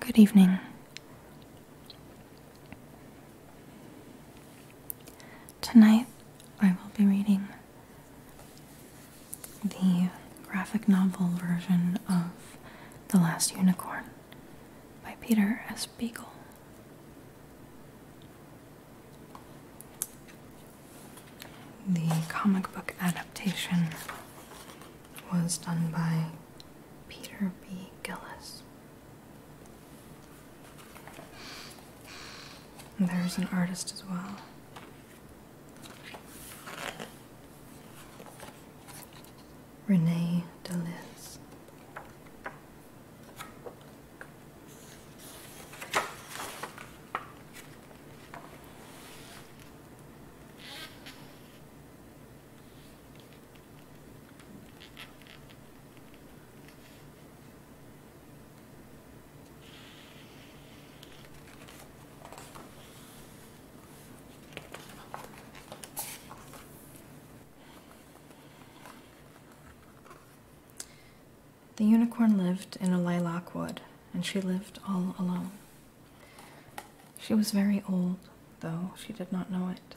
Good evening. Tonight I will be reading the graphic novel version of The Last Unicorn by Peter S. Beagle. The comic book adaptation was done by Peter B. Gillis. And there's an artist as well. Renee DeLiz. The unicorn lived in a lilac wood, and she lived all alone. She was very old, though she did not know it,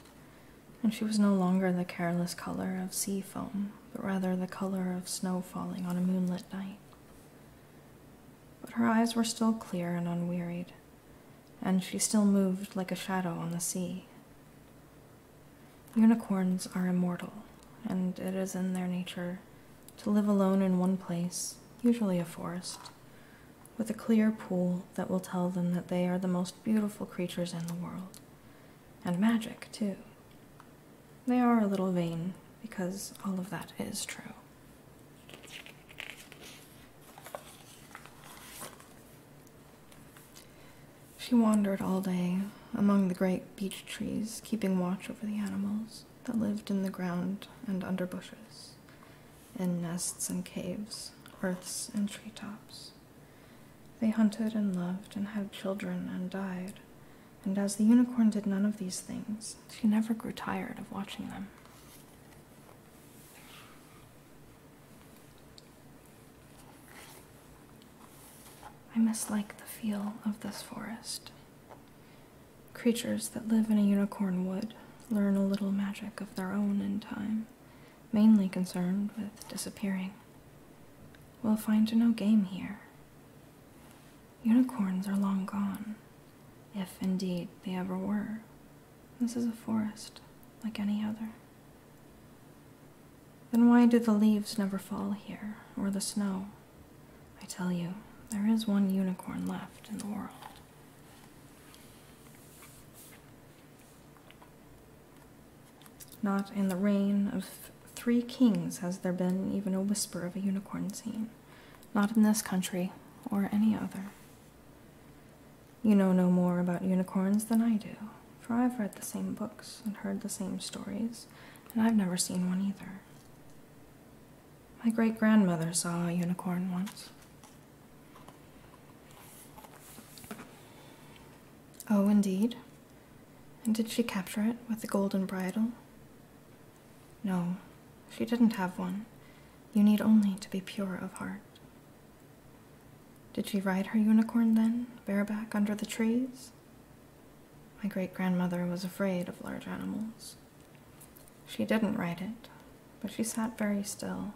and she was no longer the careless color of sea foam, but rather the color of snow falling on a moonlit night. But her eyes were still clear and unwearied, and she still moved like a shadow on the sea. Unicorns are immortal, and it is in their nature to live alone in one place, usually a forest, with a clear pool that will tell them that they are the most beautiful creatures in the world. And magic, too. They are a little vain, because all of that is true. She wandered all day among the great beech trees, keeping watch over the animals that lived in the ground and under bushes, in nests and caves, earths and tree tops, They hunted and loved and had children and died, and as the unicorn did none of these things, she never grew tired of watching them. I mislike the feel of this forest. Creatures that live in a unicorn wood learn a little magic of their own in time, mainly concerned with disappearing. We'll find no game here. Unicorns are long gone, if indeed they ever were. This is a forest like any other. Then why do the leaves never fall here, or the snow? I tell you, there is one unicorn left in the world. Not in the reign of three kings has there been even a whisper of a unicorn seen, not in this country or any other. You know no more about unicorns than I do, for I've read the same books and heard the same stories, and I've never seen one either. My great grandmother saw a unicorn once. Oh, indeed. And did she capture it with the golden bridle? No, she didn't have one. You need only to be pure of heart. Did she ride her unicorn then, bareback under the trees? My great grandmother was afraid of large animals. She didn't write it, but she sat very still,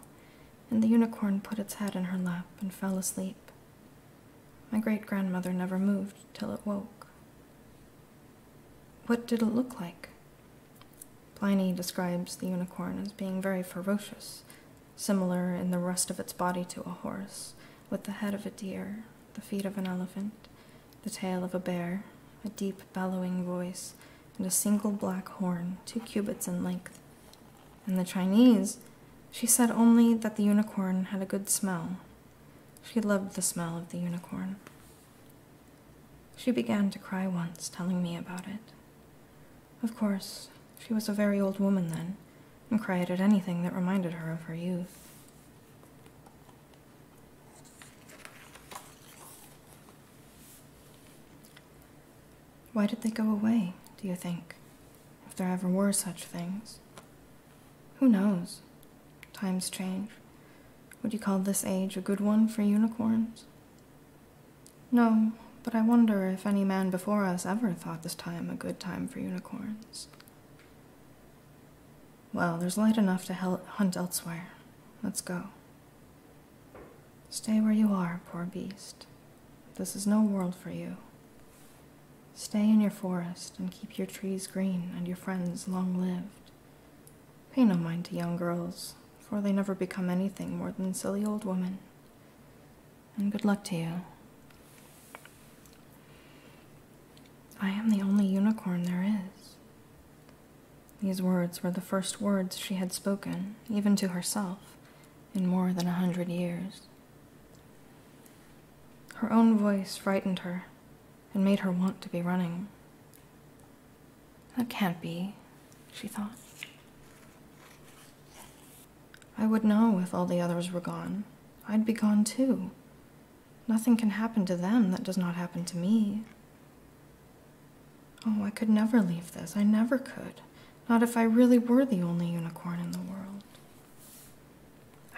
and the unicorn put its head in her lap and fell asleep. My great grandmother never moved till it woke. What did it look like? Pliny describes the unicorn as being very ferocious, similar in the rest of its body to a horse, with the head of a deer, the feet of an elephant, the tail of a bear, a deep bellowing voice, and a single black horn, two cubits in length. In the Chinese, she said only that the unicorn had a good smell. She loved the smell of the unicorn. She began to cry once, telling me about it. Of course, she was a very old woman then, and cried at anything that reminded her of her youth. Why did they go away, do you think? If there ever were such things. Who knows? Times change. Would you call this age a good one for unicorns? No, but I wonder if any man before us ever thought this time a good time for unicorns. Well, there's light enough to hunt elsewhere. Let's go. Stay where you are, poor beast. This is no world for you. Stay in your forest and keep your trees green and your friends long lived. Pay no mind to young girls, for they never become anything more than silly old women. And good luck to you. I am the only unicorn there is. These words were the first words she had spoken, even to herself, in more than a hundred years. Her own voice frightened her and made her want to be running. That can't be, she thought. I would know if all the others were gone. I'd be gone too. Nothing can happen to them that does not happen to me. Oh, I could never leave this. I never could. Not if I really were the only unicorn in the world.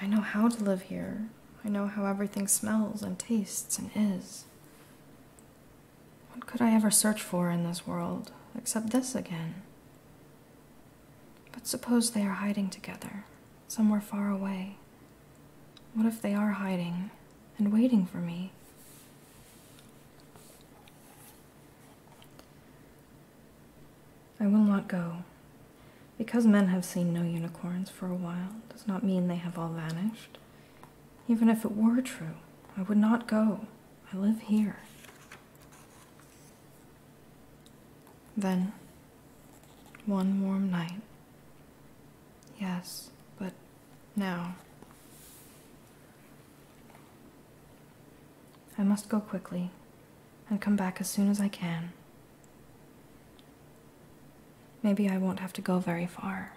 I know how to live here. I know how everything smells and tastes and is. What could I ever search for in this world except this again? But suppose they are hiding together, somewhere far away. What if they are hiding and waiting for me? I will not go. Because men have seen no unicorns for a while does not mean they have all vanished. Even if it were true, I would not go. I live here. Then, one warm night. Yes, but now. I must go quickly and come back as soon as I can. Maybe I won't have to go very far.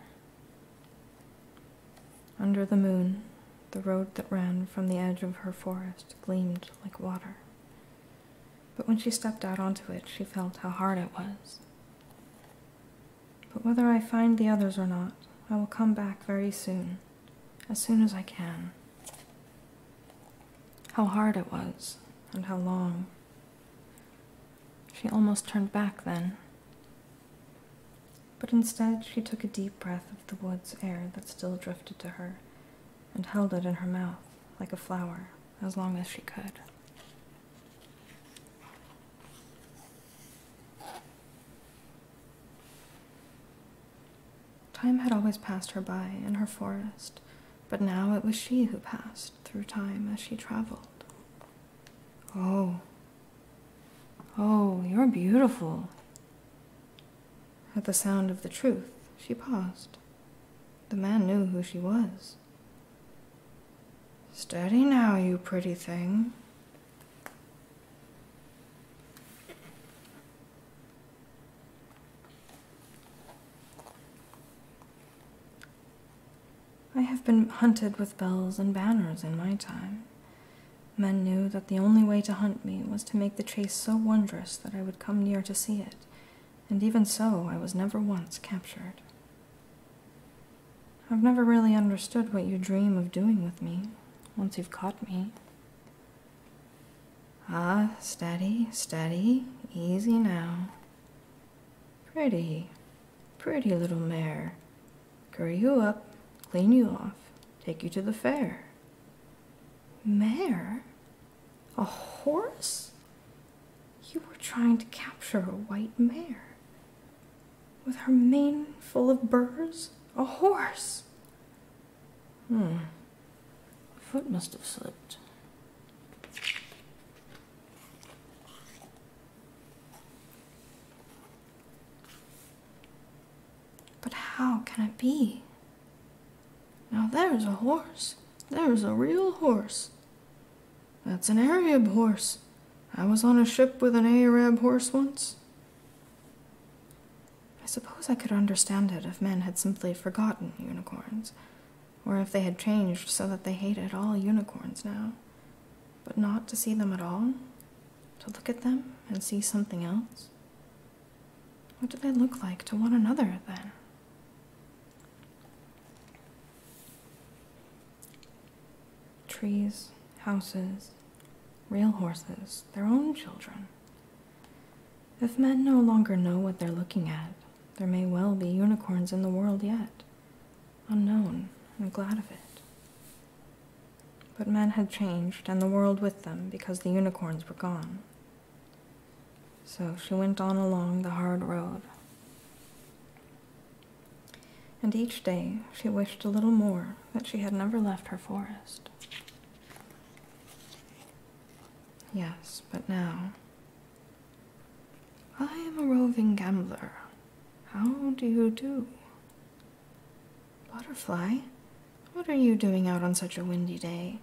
Under the moon, the road that ran from the edge of her forest gleamed like water. But when she stepped out onto it, she felt how hard it was. But whether I find the others or not, I will come back very soon, as soon as I can. How hard it was, and how long. She almost turned back then. But instead, she took a deep breath of the wood's air that still drifted to her, and held it in her mouth, like a flower, as long as she could. Time had always passed her by in her forest, but now it was she who passed through time as she traveled. Oh, oh, you're beautiful. At the sound of the truth, she paused. The man knew who she was. Steady now, you pretty thing, I have been hunted with bells and banners in my time. Men knew that the only way to hunt me was to make the chase so wondrous that I would come near to see it, and even so I was never once captured. I've never really understood what you dream of doing with me once you've caught me. Ah, steady, steady, easy now. Pretty, pretty little mare. Curry you up, clean you off, take you to the fair. Mare? A horse? You were trying to capture a white mare with her mane full of burrs, a horse. Hmm. Foot must have slipped. But how can it be? Now there's a horse. There's a real horse. That's an Arab horse. I was on a ship with an Arab horse once. I suppose I could understand it if men had simply forgotten unicorns, or if they had changed so that they hated all unicorns now. But not to see them at all? To look at them and see something else? What do they look like to one another then? Trees, houses, real horses, their own children. If men no longer know what they're looking at, there may well be unicorns in the world yet, unknown and glad of it. But men had changed, and the world with them, because the unicorns were gone. So she went on along the hard road and each day she wished a little more that she had never left her forest. Yes, but now. I am a roving gambler. How do you do? Butterfly, what are you doing out on such a windy day?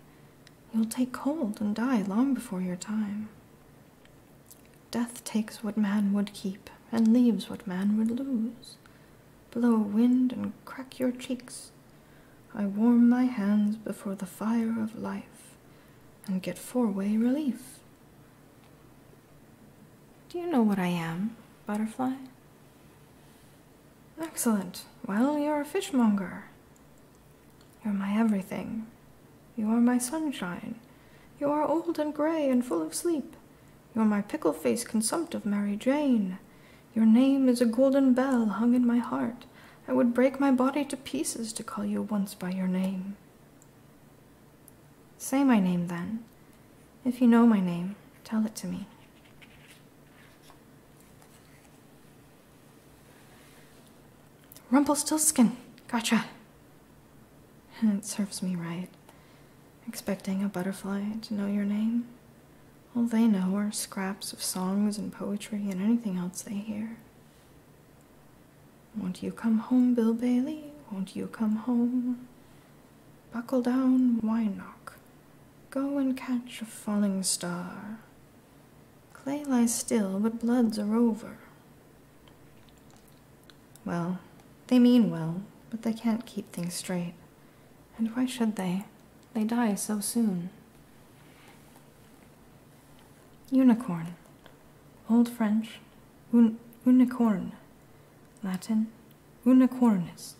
You'll take cold and die long before your time. Death takes what man would keep and leaves what man would lose blow wind and crack your cheeks. I warm my hands before the fire of life and get four way relief. Do you know what I am, butterfly? Excellent. Well, you're a fishmonger. You're my everything. You are my sunshine. You are old and gray and full of sleep. You're my pickle faced consumptive Mary Jane. Your name is a golden bell hung in my heart. I would break my body to pieces to call you once by your name. Say my name then. If you know my name, tell it to me. Rumpelstiltskin. Gotcha. And It serves me right. Expecting a butterfly to know your name? All they know are scraps of songs and poetry and anything else they hear. Won't you come home, Bill Bailey? Won't you come home? Buckle down, Wynock. Go and catch a falling star. Clay lies still, but blood's are over. Well, they mean well, but they can't keep things straight. And why should they? They die so soon. Unicorn. Old French, un unicorn. Latin, unicornis.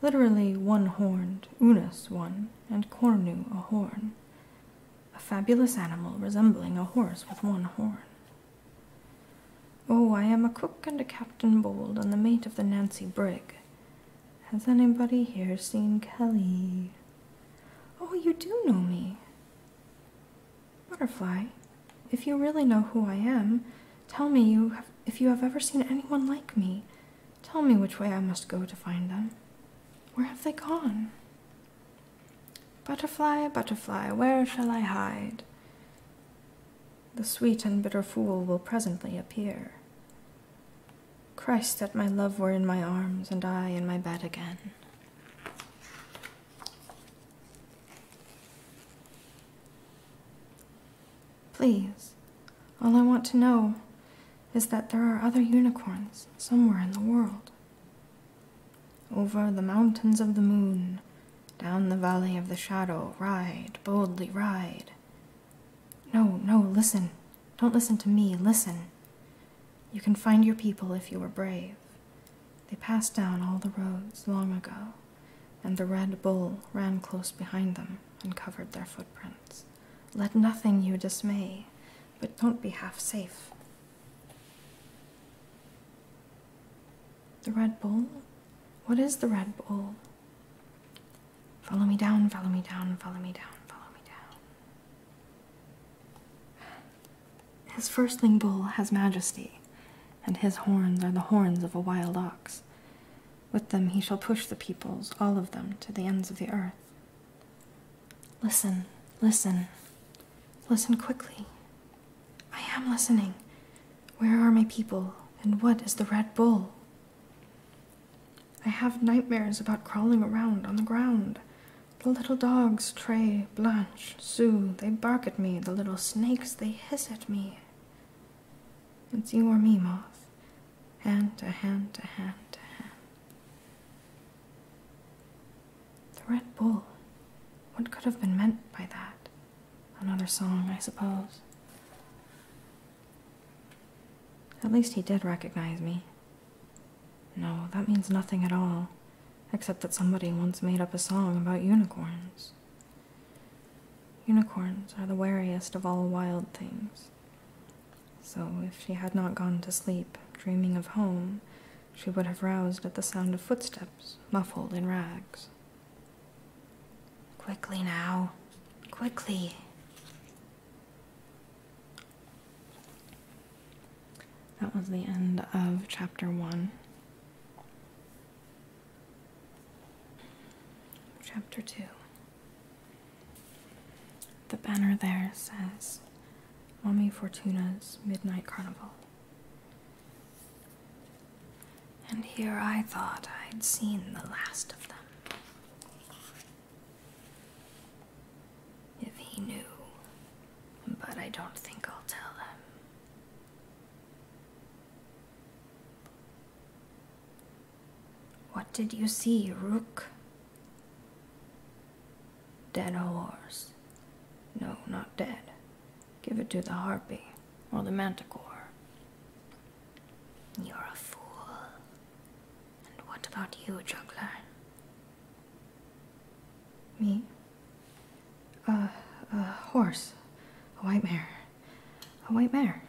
Literally one horned, unus one, and cornu a horn. A fabulous animal resembling a horse with one horn. Oh, I am a cook and a Captain Bold and the mate of the Nancy Brig. Has anybody here seen Kelly? Oh, you do know me. Butterfly, if you really know who I am, tell me you have, if you have ever seen anyone like me. Tell me which way I must go to find them. Where have they gone? Butterfly, butterfly, where shall I hide? The sweet and bitter fool will presently appear. Christ, that my love were in my arms, and I in my bed again. Please, all I want to know is that there are other unicorns somewhere in the world. Over the mountains of the moon, down the valley of the shadow, ride, boldly ride. No, no, listen. Don't listen to me, listen. You can find your people if you are brave. They passed down all the roads long ago, and the red bull ran close behind them and covered their footprints. Let nothing you dismay, but don't be half safe. The Red Bull? What is the Red Bull? Follow me down, follow me down, follow me down, follow me down. His firstling bull has majesty, and his horns are the horns of a wild ox. With them he shall push the peoples, all of them, to the ends of the earth. Listen, listen, listen quickly. I am listening. Where are my people, and what is the Red Bull? I have nightmares about crawling around on the ground. The little dogs, Tray, Blanche, Sue, they bark at me. The little snakes, they hiss at me. It's you or me, Moth. Hand to hand to hand to hand. The Red Bull. What could have been meant by that? Another song, I suppose. At least he did recognize me. No, that means nothing at all, except that somebody once made up a song about unicorns. Unicorns are the wariest of all wild things. So, if she had not gone to sleep, dreaming of home, she would have roused at the sound of footsteps, muffled in rags. Quickly now. Quickly. That was the end of chapter one. Chapter two. The banner there says Mommy Fortuna's Midnight Carnival. And here I thought I'd seen the last of them. If he knew, but I don't think I'll tell him. What did you see, Rook? Dead horse. No, not dead. Give it to the harpy or the manticore. You're a fool. And what about you, juggler? Me? Uh, a horse. A white mare. A white mare.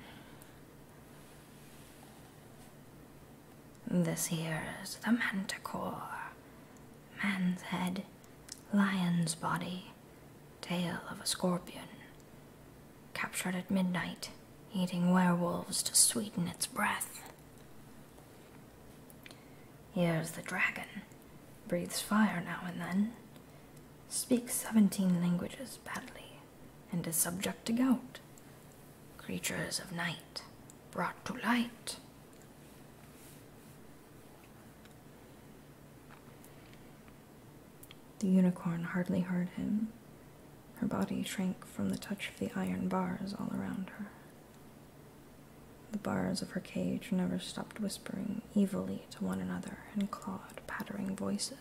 This here is the manticore. Man's head, lion's body, tail of a scorpion, captured at midnight, eating werewolves to sweeten its breath. Here's the dragon, breathes fire now and then, speaks seventeen languages badly, and is subject to gout. Creatures of night, brought to light. The unicorn hardly heard him. Her body shrank from the touch of the iron bars all around her. The bars of her cage never stopped whispering evilly to one another in clawed pattering voices.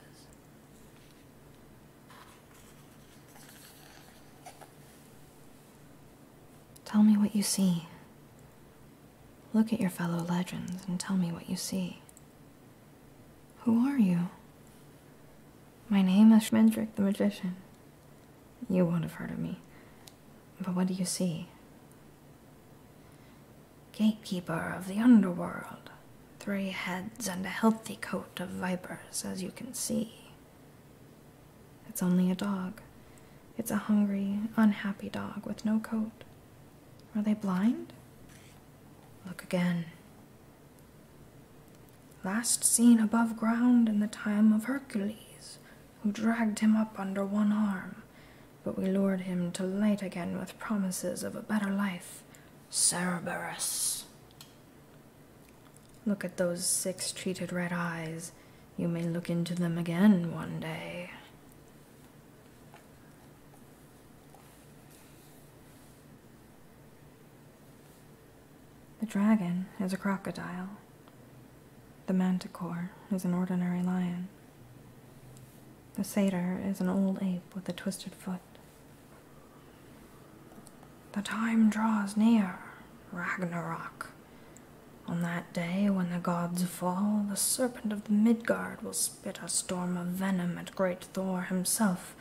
Tell me what you see. Look at your fellow legends and tell me what you see. Who are you? My name is Shmendrick the Magician. You won't have heard of me. But what do you see? Gatekeeper of the underworld. Three heads and a healthy coat of vipers, as you can see. It's only a dog. It's a hungry, unhappy dog with no coat. Are they blind? Look again. Last seen above ground in the time of Hercules, who dragged him up under one arm, but we lured him to light again with promises of a better life. Cerberus. Look at those six cheated red eyes. You may look into them again one day. The dragon is a crocodile. The manticore is an ordinary lion. The satyr is an old ape with a twisted foot. The time draws near, Ragnarok. On that day when the gods fall, the serpent of the Midgard will spit a storm of venom at great Thor himself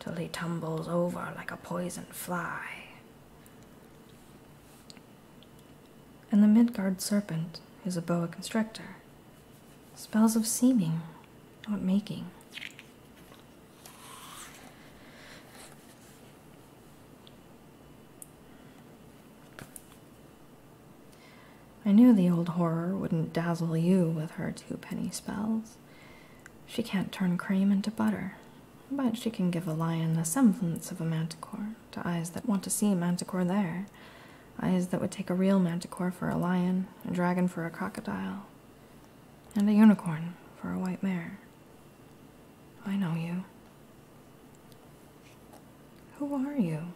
till he tumbles over like a poisoned fly. And the Midgard serpent is a boa constrictor. Spells of seeming, not making. I knew the old horror wouldn't dazzle you with her two penny spells. She can't turn cream into butter, but she can give a lion the semblance of a manticore to eyes that want to see manticore there, eyes that would take a real manticore for a lion, a dragon for a crocodile, and a unicorn for a white mare. I know you. Who are you?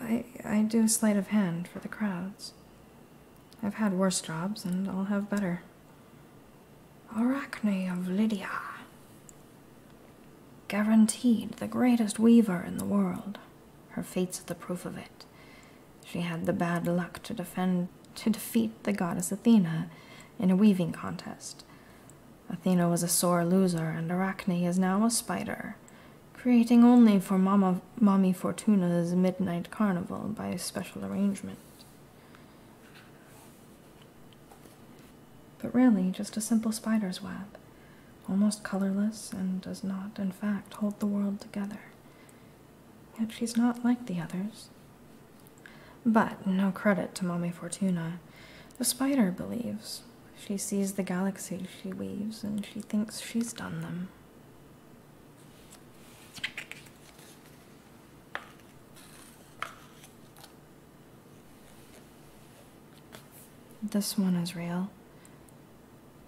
I, I do sleight of hand for the crowds. I've had worse jobs, and I'll have better. Arachne of Lydia. Guaranteed the greatest weaver in the world. Her fate's the proof of it. She had the bad luck to defend to defeat the goddess Athena in a weaving contest. Athena was a sore loser, and Arachne is now a spider, creating only for Mamma, Mommy Fortuna's Midnight Carnival by special arrangement. But really, just a simple spider's web, almost colorless and does not, in fact, hold the world together. Yet she's not like the others. But no credit to Mommy Fortuna. The spider believes, she sees the galaxies she weaves, and she thinks she's done them. This one is real.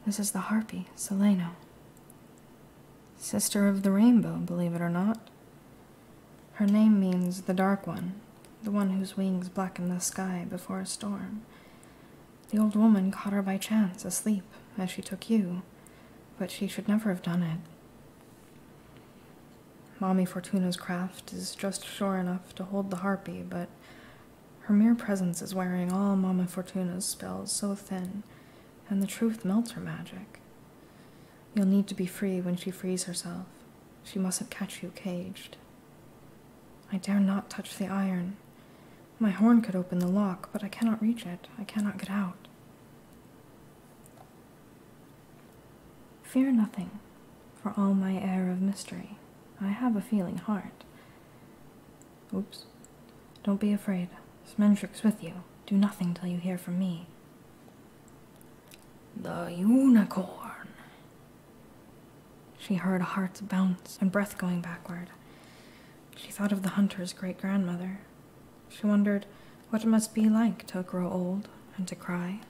This is the harpy, Seleno. Sister of the rainbow, believe it or not. Her name means the dark one, the one whose wings blacken the sky before a storm. The old woman caught her by chance, asleep, as she took you, but she should never have done it. Mommy Fortuna's craft is just sure enough to hold the harpy, but her mere presence is wearing all Mama Fortuna's spells so thin, and the truth melts her magic. You'll need to be free when she frees herself. She mustn't catch you caged. I dare not touch the iron. My horn could open the lock, but I cannot reach it. I cannot get out. Fear nothing, for all my air of mystery. I have a feeling heart. Oops. Don't be afraid. Smendrick's with you. Do nothing till you hear from me. The unicorn. She heard hearts bounce and breath going backward. She thought of the hunter's great grandmother. She wondered what it must be like to grow old and to cry.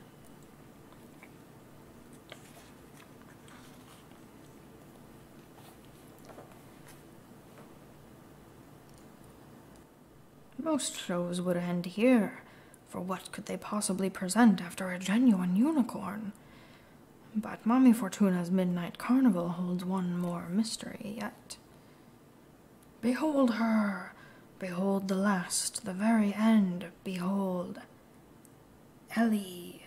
Most shows would end here, for what could they possibly present after a genuine unicorn? But Mommy Fortuna's Midnight Carnival holds one more mystery yet. Behold her! Behold the last, the very end! Behold Ellie!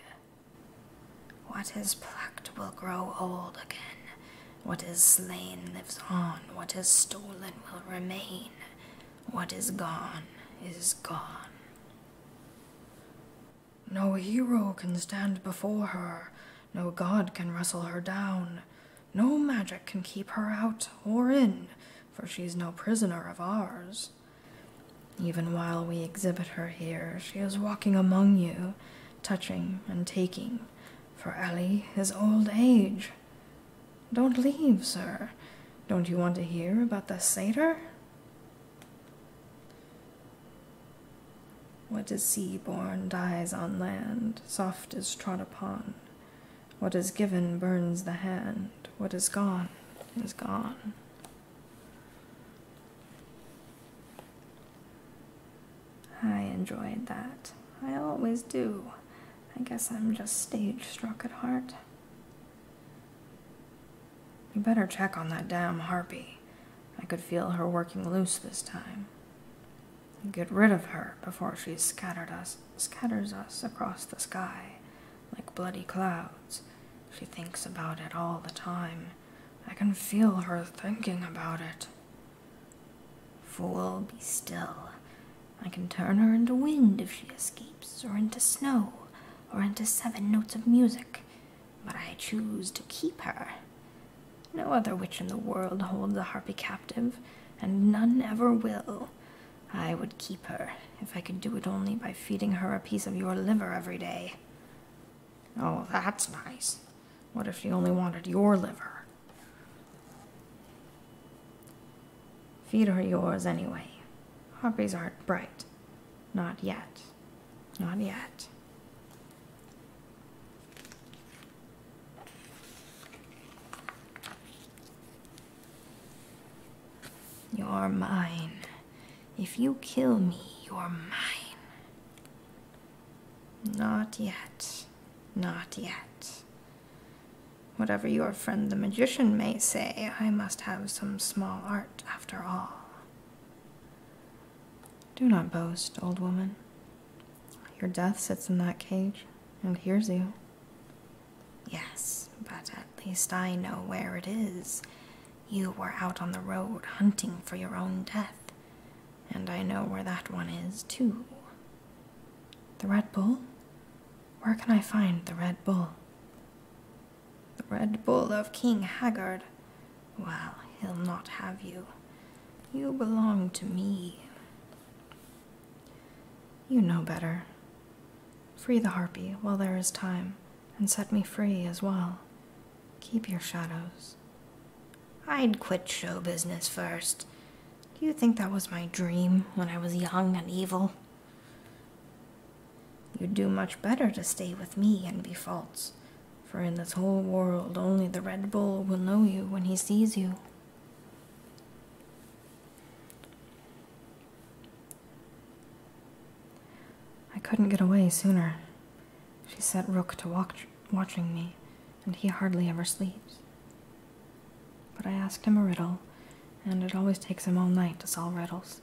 What is plucked will grow old again. What is slain lives on. What is stolen will remain. What is gone is gone. No hero can stand before her, no god can wrestle her down, no magic can keep her out or in, for she's no prisoner of ours. Even while we exhibit her here, she is walking among you, touching and taking, for Ellie is old age. Don't leave, sir. Don't you want to hear about the satyr? What is sea-born dies on land, soft is trod upon. What is given burns the hand, what is gone is gone. I enjoyed that. I always do. I guess I'm just stage struck at heart. You better check on that damn harpy. I could feel her working loose this time. get rid of her before she scattered us, scatters us across the sky like bloody clouds. She thinks about it all the time. I can feel her thinking about it. Fool, be still. I can turn her into wind if she escapes, or into snow, or into seven notes of music but I choose to keep her. No other witch in the world holds a harpy captive, and none ever will. I would keep her if I could do it only by feeding her a piece of your liver every day. Oh, that's nice. What if she only wanted your liver? Feed her yours anyway. Harpies aren't bright. Not yet. Not yet. You're mine. If you kill me, you're mine. Not yet. Not yet. Whatever your friend the magician may say, I must have some small art after all. Do not boast, old woman. Your death sits in that cage and hears you. Yes, but at least I know where it is. You were out on the road hunting for your own death, and I know where that one is, too. The Red Bull? Where can I find the Red Bull? The Red Bull of King Haggard. Well, he'll not have you. You belong to me. You know better. Free the harpy while there is time, and set me free as well. Keep your shadows. I'd quit show business first. Do you think that was my dream when I was young and evil? You'd do much better to stay with me and be false, for in this whole world, only the Red Bull will know you when he sees you. I couldn't get away sooner. She set Rook to watch, watching me, and he hardly ever sleeps. But I asked him a riddle, and it always takes him all night to solve riddles.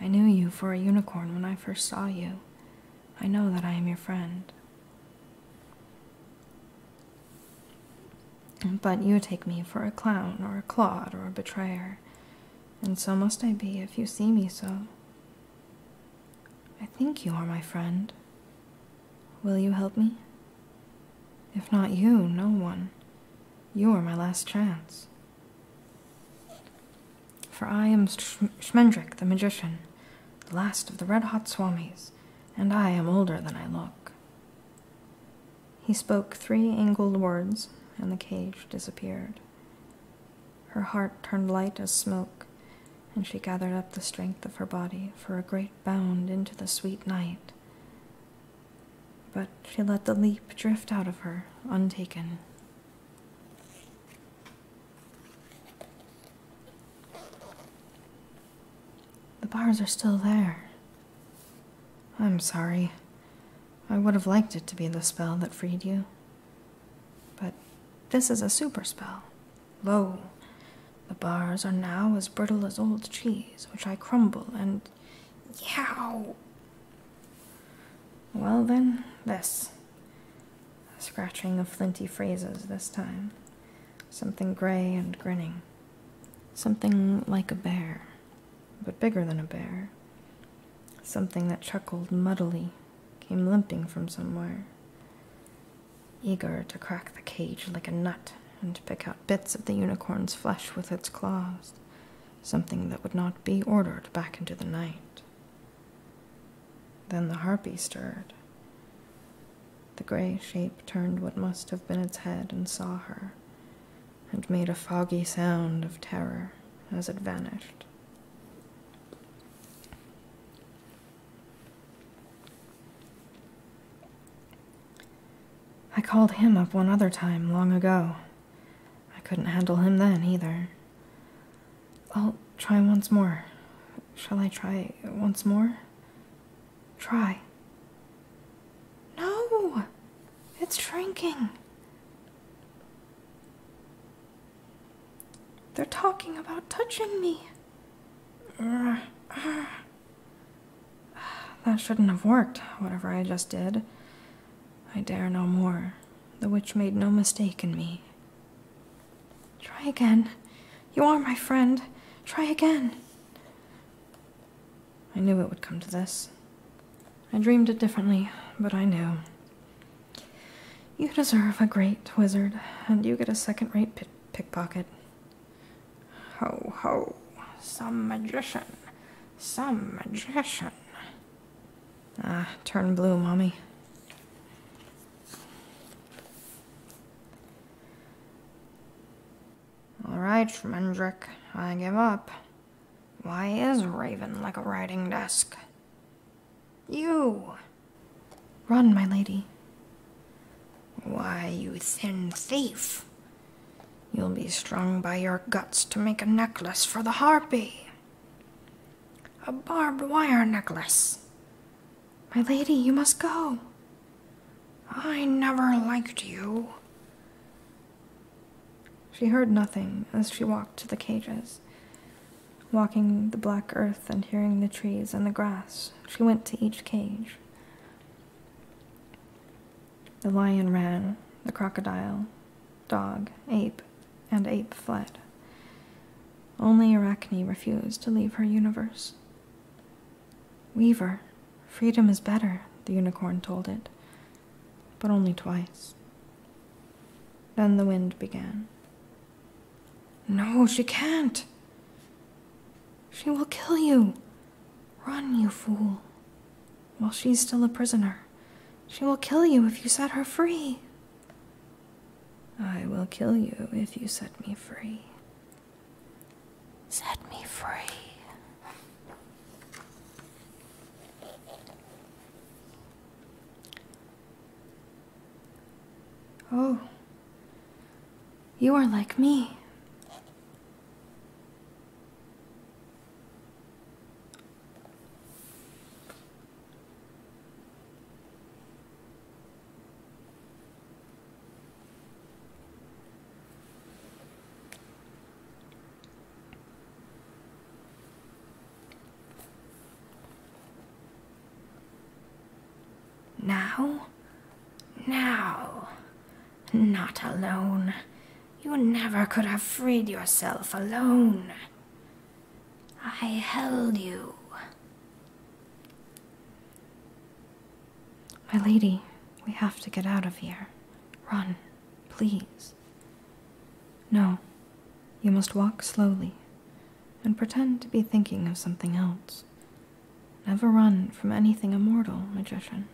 I knew you for a unicorn when I first saw you. I know that I am your friend. But you take me for a clown or a clod or a betrayer, and so must I be if you see me so. I think you are my friend. Will you help me? If not you, no one. You are my last chance. For I am Shmendrik the magician, the last of the red hot swamis, and I am older than I look. He spoke three angled words, and the cage disappeared. Her heart turned light as smoke, and she gathered up the strength of her body for a great bound into the sweet night. But she let the leap drift out of her, untaken. The bars are still there. I'm sorry. I would have liked it to be the spell that freed you. But this is a super spell. Lo, the bars are now as brittle as old cheese, which I crumble and. Yow! Well then, this. A scratching of flinty phrases this time. Something gray and grinning. Something like a bear, but bigger than a bear. Something that chuckled muddily, came limping from somewhere. Eager to crack the cage like a nut and to pick out bits of the unicorn's flesh with its claws. Something that would not be ordered back into the night. Then the harpy stirred. The gray shape turned what must have been its head and saw her, and made a foggy sound of terror as it vanished. I called him up one other time long ago. I couldn't handle him then either. I'll try once more. Shall I try once more? Try. No! It's shrinking. They're talking about touching me. That shouldn't have worked, whatever I just did. I dare no more. The witch made no mistake in me. Try again. You are my friend. Try again. I knew it would come to this. I dreamed it differently, but I knew. You deserve a great wizard, and you get a second rate pickpocket. Ho ho, some magician, some magician. Ah, turn blue, mommy. Alright, Schmendrick, I give up. Why is Raven like a writing desk? You! Run, my lady. Why, you thin thief! You'll be strung by your guts to make a necklace for the harpy. A barbed wire necklace. My lady, you must go. I never liked you. She heard nothing as she walked to the cages. Walking the black earth and hearing the trees and the grass, she went to each cage. The lion ran, the crocodile, dog, ape, and ape fled. Only Arachne refused to leave her universe. Weaver, freedom is better, the unicorn told it, but only twice. Then the wind began. No, she can't! She will kill you! Run, you fool! While she's still a prisoner, she will kill you if you set her free, I will kill you if you set me free. Set me free. Oh, you are like me. Now? Now? Not alone. You never could have freed yourself alone. I held you. My lady, we have to get out of here. Run, please. No, you must walk slowly and pretend to be thinking of something else. Never run from anything immortal, magician.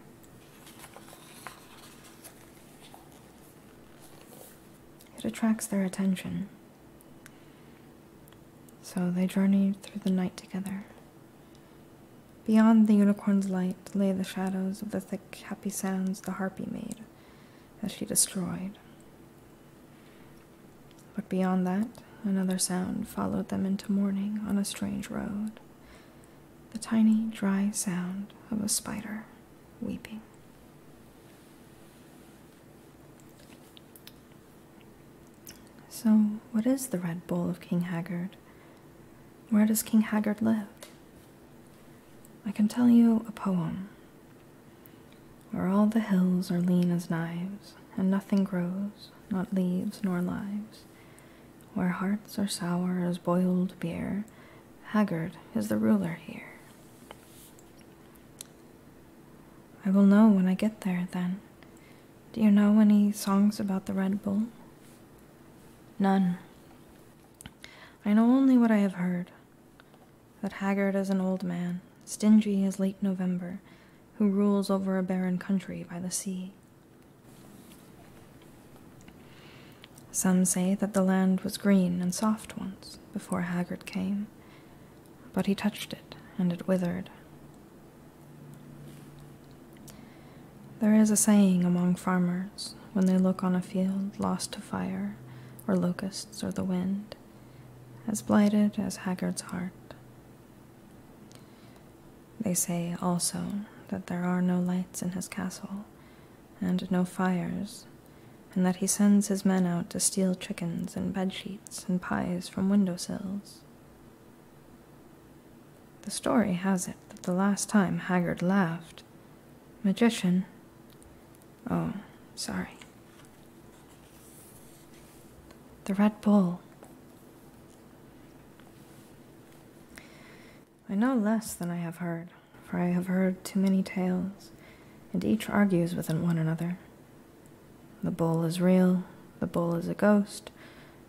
It attracts their attention. So they journeyed through the night together. Beyond the unicorn's light lay the shadows of the thick, happy sounds the harpy made as she destroyed. But beyond that, another sound followed them into morning on a strange road the tiny, dry sound of a spider weeping. So, what is the Red Bull of King Haggard? Where does King Haggard live? I can tell you a poem where all the hills are lean as knives, and nothing grows, not leaves nor lives, where hearts are sour as boiled beer. Haggard is the ruler here. I will know when I get there, then. Do you know any songs about the Red Bull? None. I know only what I have heard that Haggard is an old man, stingy as late November, who rules over a barren country by the sea. Some say that the land was green and soft once, before Haggard came but he touched it, and it withered. There is a saying among farmers when they look on a field lost to fire, or locusts, or the wind, as blighted as Haggard's heart. They say also that there are no lights in his castle, and no fires, and that he sends his men out to steal chickens and bed sheets and pies from window sills. The story has it that the last time Haggard laughed, Magician. Oh, sorry. The Red Bull. I know less than I have heard, for I have heard too many tales, and each argues within one another. The bull is real, the bull is a ghost,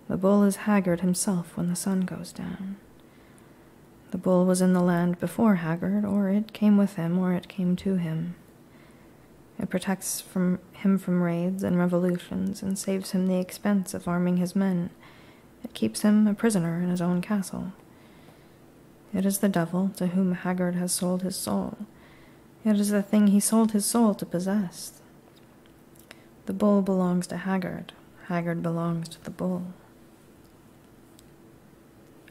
the bull is Haggard himself when the sun goes down. The bull was in the land before Haggard, or it came with him, or it came to him. It protects him from raids and revolutions, and saves him the expense of arming his men. It keeps him a prisoner in his own castle. It is the devil to whom Haggard has sold his soul. It is the thing he sold his soul to possess. The bull belongs to Haggard. Haggard belongs to the bull.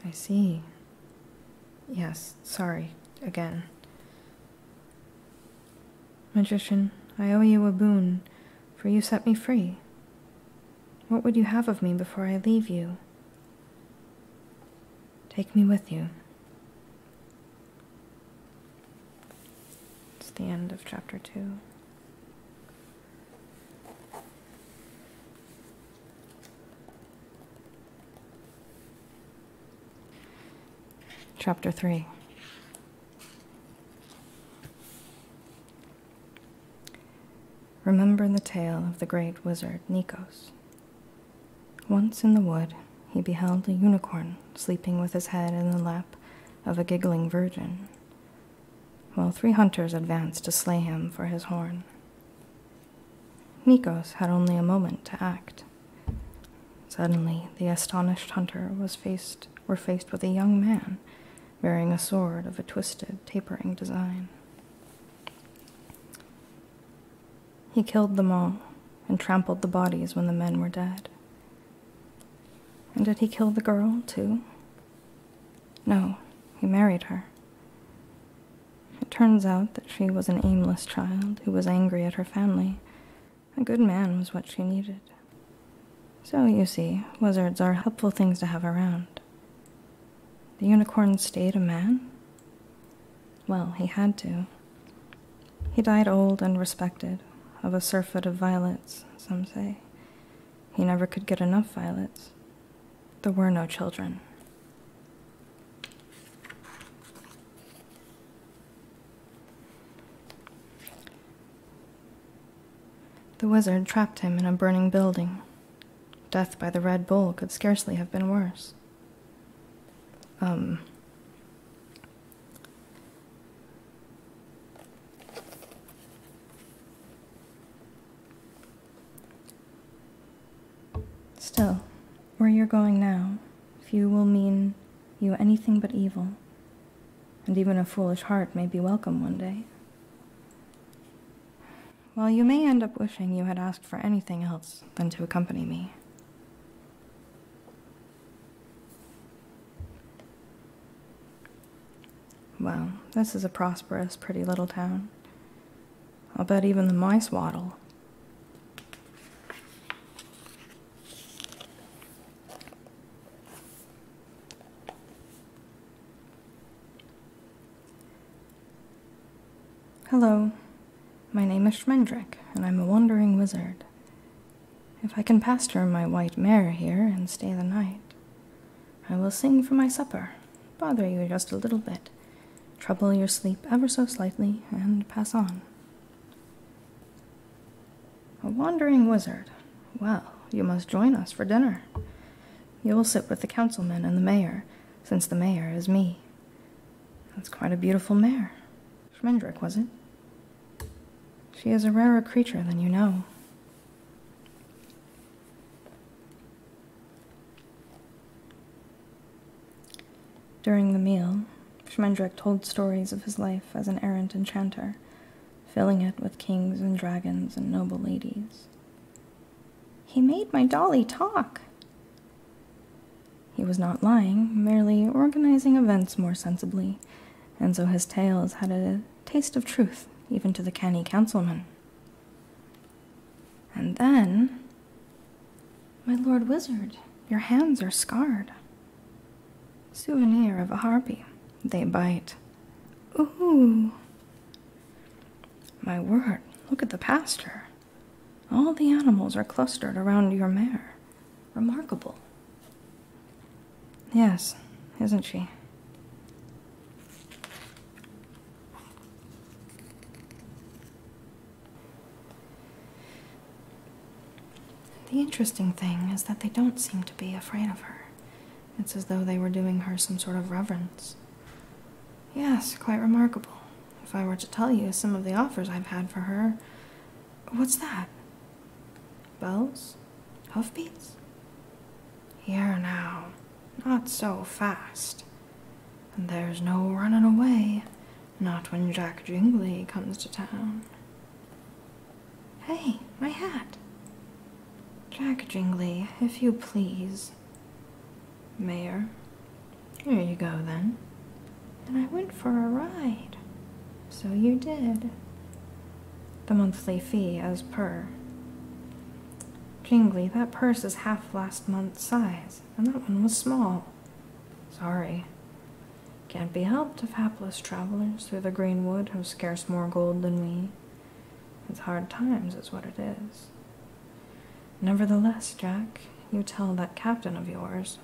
I see. Yes, sorry, again. Magician, I owe you a boon, for you set me free. What would you have of me before I leave you? Take me with you. It's the end of chapter two. Chapter 3 Remember the tale of the great wizard Nikos, once in the wood, he beheld a unicorn sleeping with his head in the lap of a giggling virgin, while three hunters advanced to slay him for his horn. Nikos had only a moment to act. Suddenly, the astonished hunter was faced were faced with a young man bearing a sword of a twisted, tapering design. He killed them all and trampled the bodies when the men were dead. And did he kill the girl, too? No, he married her. It turns out that she was an aimless child who was angry at her family. A good man was what she needed. So, you see, wizards are helpful things to have around. The unicorn stayed a man, well, he had to. He died old and respected, of a surfeit of violets, some say. He never could get enough violets. There were no children. The wizard trapped him in a burning building Death by the Red Bull could scarcely have been worse. Um, still, where you're going now, few will mean you anything but evil, and even a foolish heart may be welcome one day. Well, you may end up wishing you had asked for anything else than to accompany me. Well, this is a prosperous, pretty little town. I'll bet even the mice waddle. Hello, my name is Shmendrick, and I'm a wandering wizard. If I can pasture my white mare here and stay the night, I will sing for my supper, bother you just a little bit, trouble your sleep ever so slightly, and pass on. A wandering wizard. Well, you must join us for dinner. You will sit with the councilmen and the mayor, since the mayor is me. That's quite a beautiful mare. Schmendrick, was it? She is a rarer creature than you know. During the meal, Schmendrick told stories of his life as an errant enchanter, filling it with kings and dragons and noble ladies. He made my dolly talk. He was not lying, merely organizing events more sensibly, and so his tales had a taste of truth, even to the canny councilman. And then, my lord wizard, your hands are scarred. Souvenir of a harpy, they bite. Ooh. My word, look at the pasture. All the animals are clustered around your mare. Remarkable. Yes, isn't she? The interesting thing is that they don't seem to be afraid of her. It's as though they were doing her some sort of reverence. Yes, quite remarkable. If I were to tell you some of the offers I've had for her. What's that? Bells? Hoofbeats? Here now, not so fast. there's no running away, not when Jack Jingley comes to town. Hey, my hat! Jack Jingley, if you please. Mayor. there you go then. And I went for a ride. So you did. The monthly fee as per. Jingly, that purse is half last month's size, and that one was small. Sorry. Can't be helped if hapless travelers through the Greenwood have scarce more gold than we. It's hard times, is what it is. Nevertheless, Jack, you tell that captain of yours.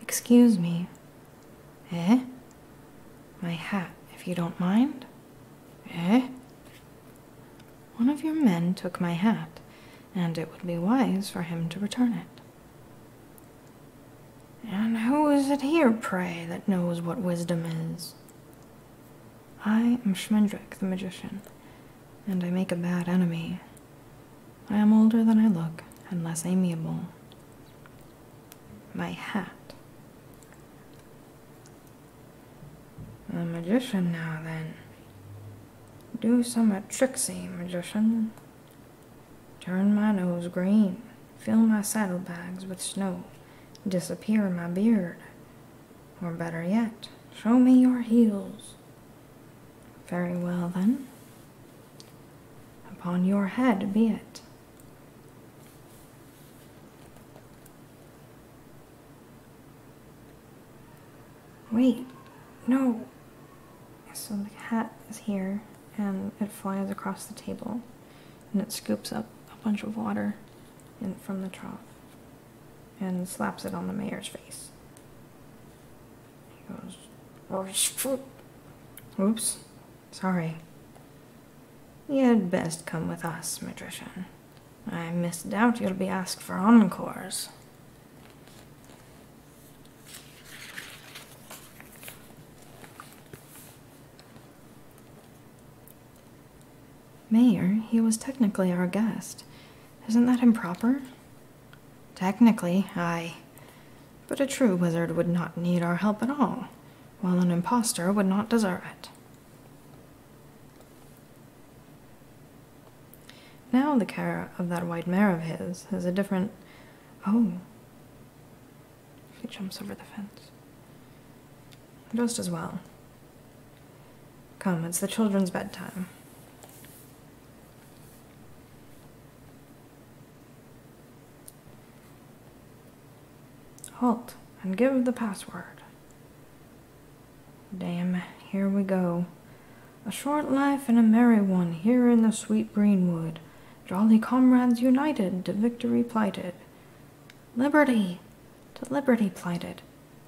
Excuse me. Eh? My hat, if you don't mind? Eh? One of your men took my hat, and it would be wise for him to return it. And who is it here, pray, that knows what wisdom is? I am Schmendrick, the magician, and I make a bad enemy. I am older than I look, and less amiable. My hat. The magician now, then. Do some Tricksy, magician. Turn my nose green, fill my saddlebags with snow, disappear my beard, or better yet, show me your heels. Very well then. Upon your head be it. Wait, no! So the cat is here, and it flies across the table, and it scoops up a bunch of water in, from the trough and slaps it on the mayor's face. He goes, oh, Oops, sorry. You had best come with us, magician. I misdoubt you'll be asked for encores. Mayor, he was technically our guest. Isn't that improper? Technically, ay, But a true wizard would not need our help at all, while an impostor would not deserve it. Now the care of that white mare of his has a different. Oh. He jumps over the fence. Just as well. Come, it's the children's bedtime. Halt and give the password. Damn, here we go. A short life and a merry one here in the sweet greenwood. Jolly comrades united to victory plighted. Liberty! To liberty plighted.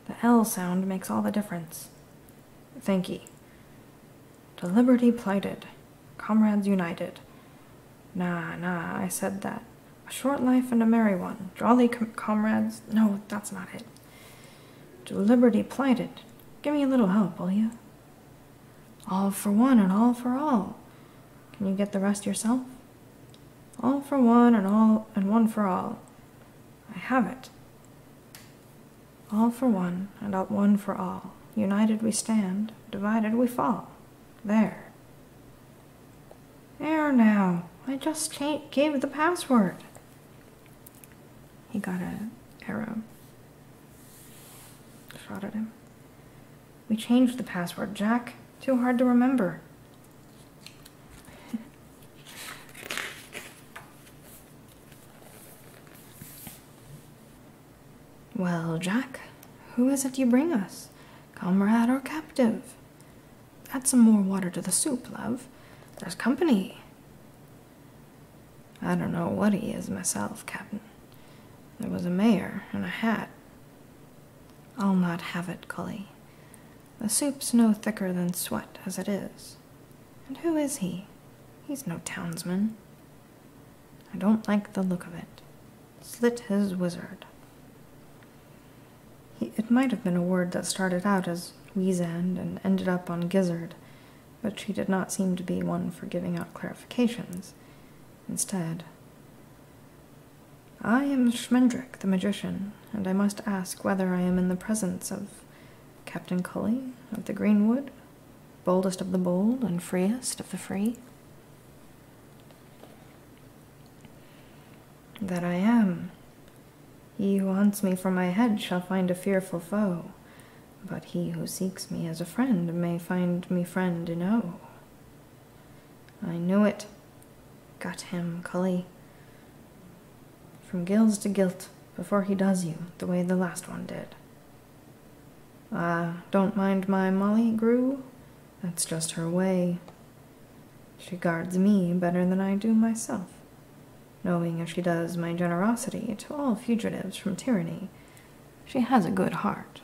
The L sound makes all the difference. Thank ye. To liberty plighted. Comrades united. na na I said that. A short life and a merry one. Jolly comrades. No, that's not it. To liberty plighted. Give me a little help, will you? All for one and all for all. Can you get the rest yourself? All for one and all and one for all. I have it. All for one and all one for all. United we stand, divided we fall. There. There now. I just gave the password. He got a arrow shot at him. We changed the password, Jack. Too hard to remember. well, Jack, who is it you bring us? Comrade or captive? Add some more water to the soup, love. There's company. I don't know what he is myself, Captain. There was a mayor in a hat. I'll not have it, Cully. The soup's no thicker than sweat as it is. And who is he? He's no townsman. I don't like the look of it. Slit his wizard. it might have been a word that started out as Weezand and ended up on Gizzard, but she did not seem to be one for giving out clarifications. Instead, I am Schmendrick, the magician, and I must ask whether I am in the presence of Captain Cully of the Greenwood, boldest of the bold and freest of the free. That I am. He who hunts me for my head shall find a fearful foe, but he who seeks me as a friend may find me friend enow. I knew it. Got him, cully. From gills to guilt, before he does you, the way the last one did. Ah, don't mind my Molly Grew. That's just her way. She guards me better than I do myself, knowing as she does my generosity to all fugitives from tyranny, she has a good heart.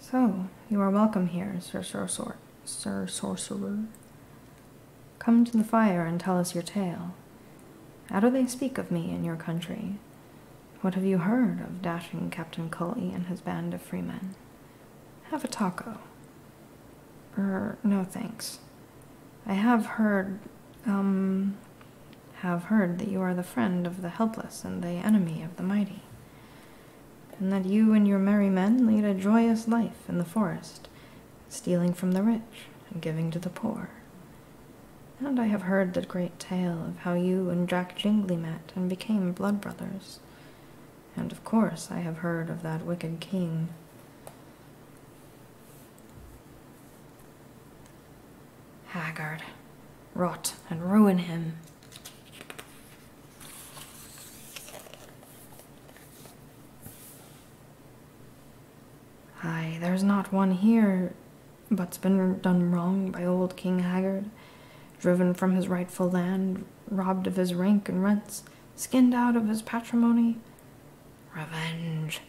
So, you are welcome here, Sir Sorcerer. Sir Sorcerer. Come to the fire and tell us your tale. How do they speak of me in your country? What have you heard of dashing Captain Culley and his band of freemen? Have a taco. Er, no thanks. I have heard, um, have heard that you are the friend of the helpless and the enemy of the mighty, and that you and your merry men lead a joyous life in the forest, stealing from the rich and giving to the poor. And I have heard the great tale of how you and Jack Jingley met and became blood brothers, and of course I have heard of that wicked king. Haggard. Rot and ruin him. Ay, there's not one here but's been done wrong by old King Haggard, driven from his rightful land, robbed of his rank and rents, skinned out of his patrimony. Revenge!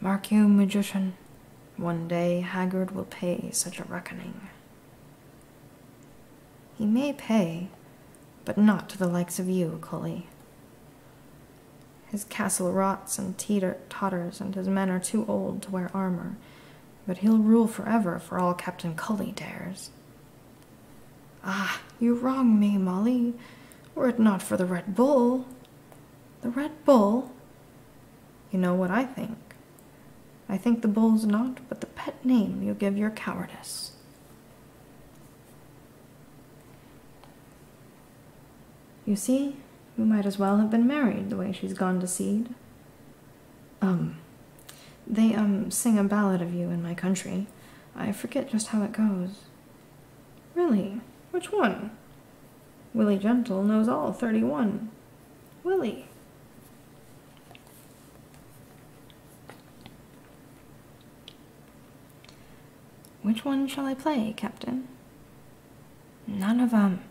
Mark you, magician, one day Haggard will pay such a reckoning. He may pay, but not to the likes of you, Cully. His castle rots and teeter totters, and his men are too old to wear armor, but he'll rule for ever for all Captain Cully dares. Ah, you wrong me, Molly. Were it not for the Red Bull. The Red Bull? You know what I think. I think the bull's not but the pet name you give your cowardice. You see, we might as well have been married the way she's gone to seed. Um, they, um, sing a ballad of you in my country. I forget just how it goes. Really? Which one? Willie Gentle knows all 31. Willie. Which one shall I play, Captain? None of em.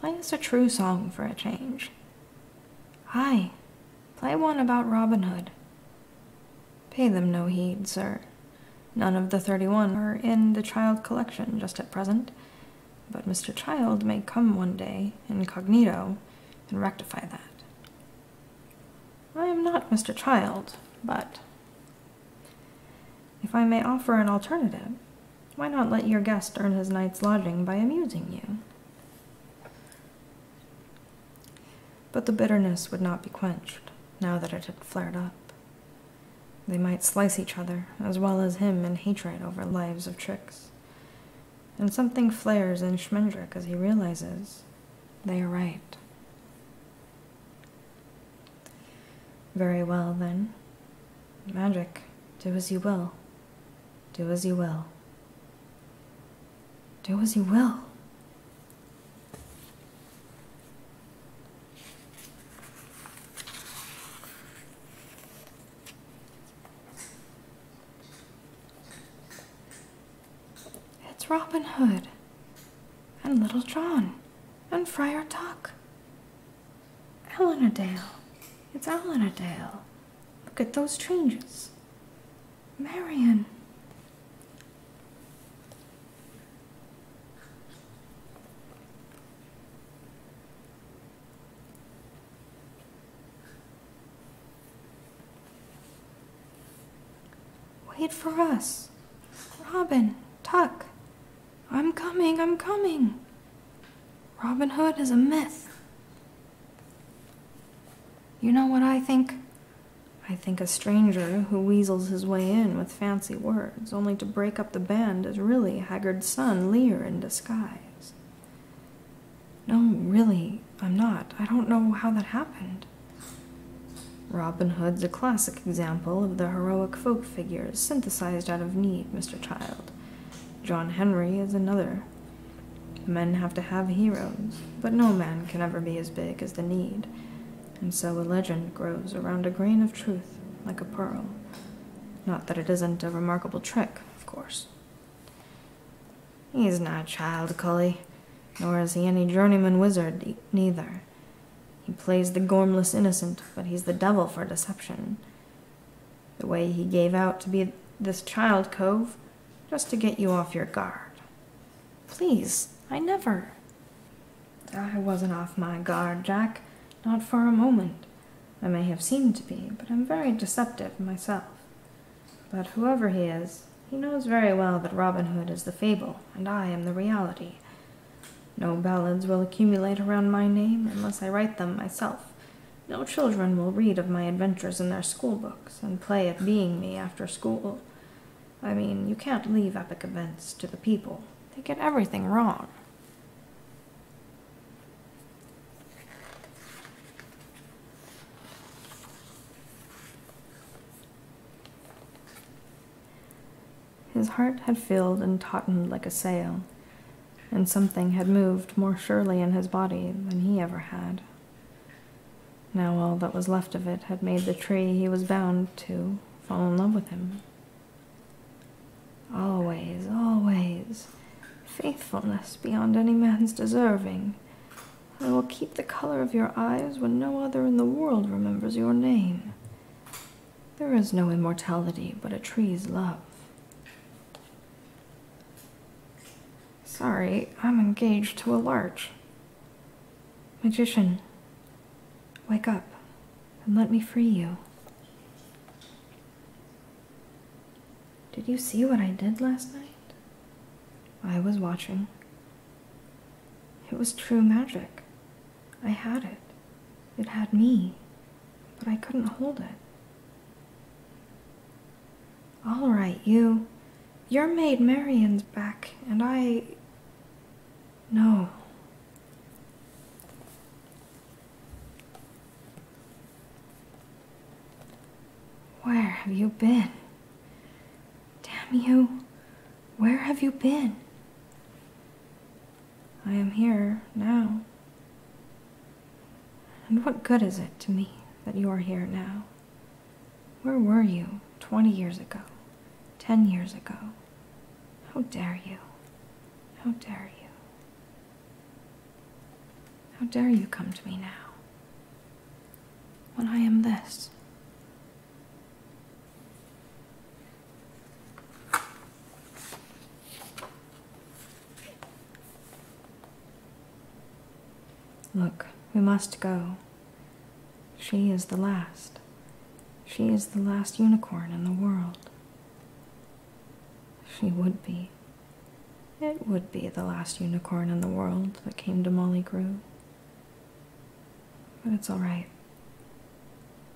Play us a true song for a change. Aye, play one about Robin Hood. Pay them no heed, sir. None of the thirty one are in the child collection just at present, but Mr. Child may come one day, incognito, and rectify that. I am not Mr. Child, but if I may offer an alternative, why not let your guest earn his night's lodging by amusing you? But the bitterness would not be quenched now that it had flared up. They might slice each other, as well as him, in hatred over lives of tricks. And something flares in Schmendrick as he realizes they are right. Very well, then. Magic, do as you will. Do as you will. Do as you will. It's Robin Hood, and Little John, and Friar Tuck. Ellen Dale. It's Ellen Dale. Look at those changes. Marion. Wait for us. Robin, Tuck. I'm coming, I'm coming. Robin Hood is a myth. You know what I think? I think a stranger who weasels his way in with fancy words, only to break up the band, is really Haggard's son, Lear, in disguise. No, really, I'm not. I don't know how that happened. Robin Hood's a classic example of the heroic folk figures synthesized out of need, Mr. Child. John Henry is another. Men have to have heroes, but no man can ever be as big as the need, and so a legend grows around a grain of truth like a pearl. Not that it isn't a remarkable trick, of course. He's not a child, Cully, nor is he any journeyman wizard, neither. He plays the gormless innocent, but he's the devil for deception. The way he gave out to be this child cove just to get you off your guard. Please, I never. I wasn't off my guard, Jack, not for a moment. I may have seemed to be, but I'm very deceptive myself. But whoever he is, he knows very well that Robin Hood is the fable, and I am the reality. No ballads will accumulate around my name unless I write them myself. No children will read of my adventures in their schoolbook and play at being me after school. I mean, you can't leave epic events to the people. They get everything wrong. His heart had filled and tautened like a sail, and something had moved more surely in his body than he ever had. Now all that was left of it had made the tree he was bound to fall in love with him. Always, always, faithfulness beyond any man's deserving. I will keep the color of your eyes when no other in the world remembers your name. There is no immortality but a tree's love. Sorry, I'm engaged to a large. Magician, wake up and let me free you. Did you see what I did last night? I was watching. It was true magic. I had it. It had me. But I couldn't hold it. All right, you. Your maid Marian's back, and I. No. Where have you been? Damn you. Where have you been? I am here now. And what good is it to me that you are here now? Where were you 20 years ago? 10 years ago? How dare you? How dare you? How dare you come to me now? When I am this. Look, we must go. She is the last. She is the last unicorn in the world. She would be. It would be the last unicorn in the world that came to Molly Grew. But it's all right.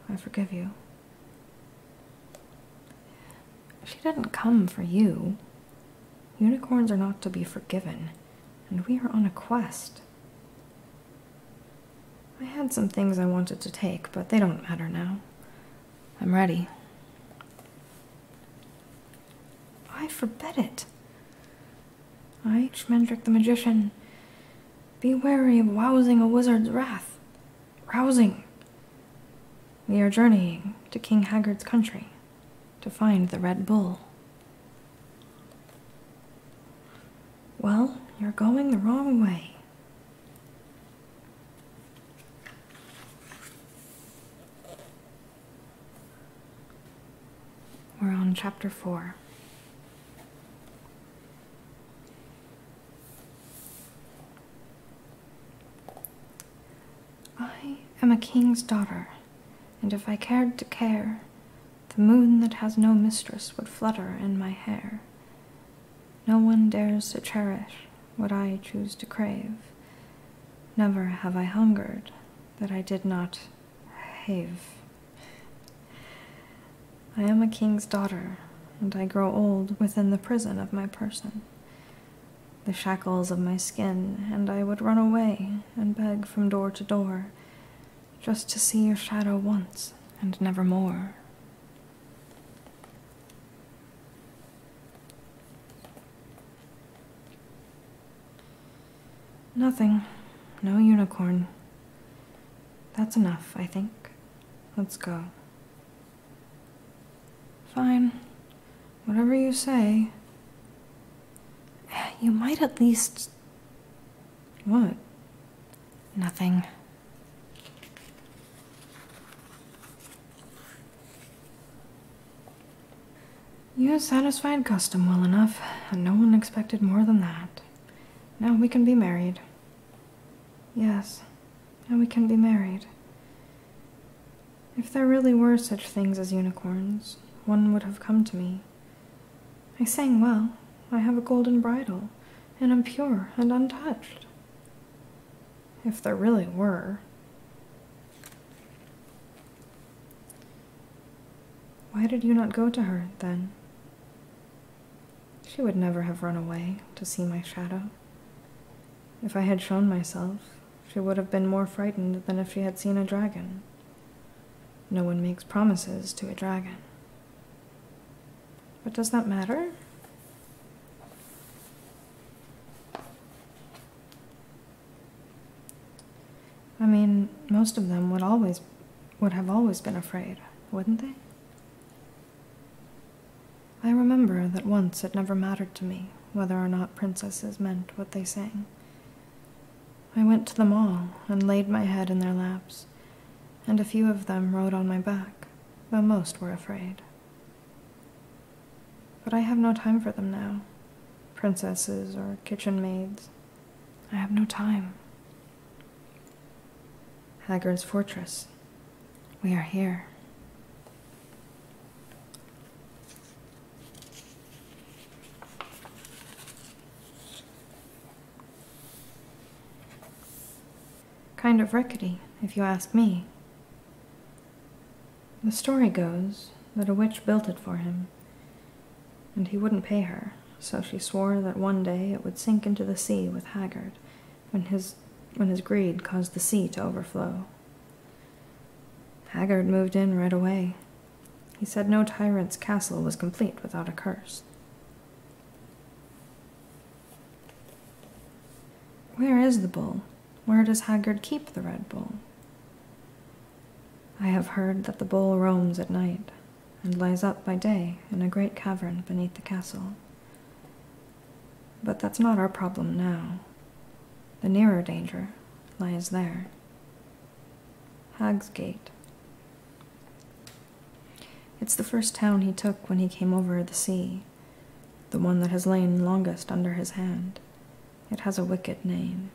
I forgive you. She didn't come for you. Unicorns are not to be forgiven, and we are on a quest. I had some things I wanted to take, but they don't matter now. I'm ready. I forbid it. I, Shmendrick the Magician, be wary of rousing a wizard's wrath. Rousing! We are journeying to King Haggard's country to find the red bull. Well, you're going the wrong way. We're on chapter 4. I am a king's daughter, and if I cared to care, the moon that has no mistress would flutter in my hair. No one dares to cherish what I choose to crave. Never have I hungered that I did not have. I am a king's daughter, and I grow old within the prison of my person, the shackles of my skin, and I would run away and beg from door to door just to see your shadow once and never more. Nothing. No unicorn. That's enough, I think. Let's go. Fine. Whatever you say. You might at least. What? Nothing. You satisfied custom well enough, and no one expected more than that. Now we can be married. Yes, now we can be married. If there really were such things as unicorns, one would have come to me. I sang well. I have a golden bridle, and am pure and untouched. If there really were. Why did you not go to her, then? She would never have run away to see my shadow. If I had shown myself, she would have been more frightened than if she had seen a dragon. No one makes promises to a dragon. But does that matter? I mean, most of them would always would have always been afraid, wouldn't they? I remember that once it never mattered to me whether or not princesses meant what they sang, I went to them all and laid my head in their laps, and a few of them rode on my back, though most were afraid. But I have no time for them now princesses or kitchen maids. I have no time. Haggard's fortress. We are here. Kind of rickety, if you ask me. The story goes that a witch built it for him, and he wouldn't pay her, so she swore that one day it would sink into the sea with Haggard when his, when his greed caused the sea to overflow. Haggard moved in right away, he said no tyrant's castle was complete without a curse. Where is the bull? Where does Haggard keep the red bull? I have heard that the bull roams at night and lies up by day in a great cavern beneath the castle. But that's not our problem now. The nearer danger lies there. Hagsgate. It's the first town he took when he came over the sea, the one that has lain longest under his hand. It has a wicked name.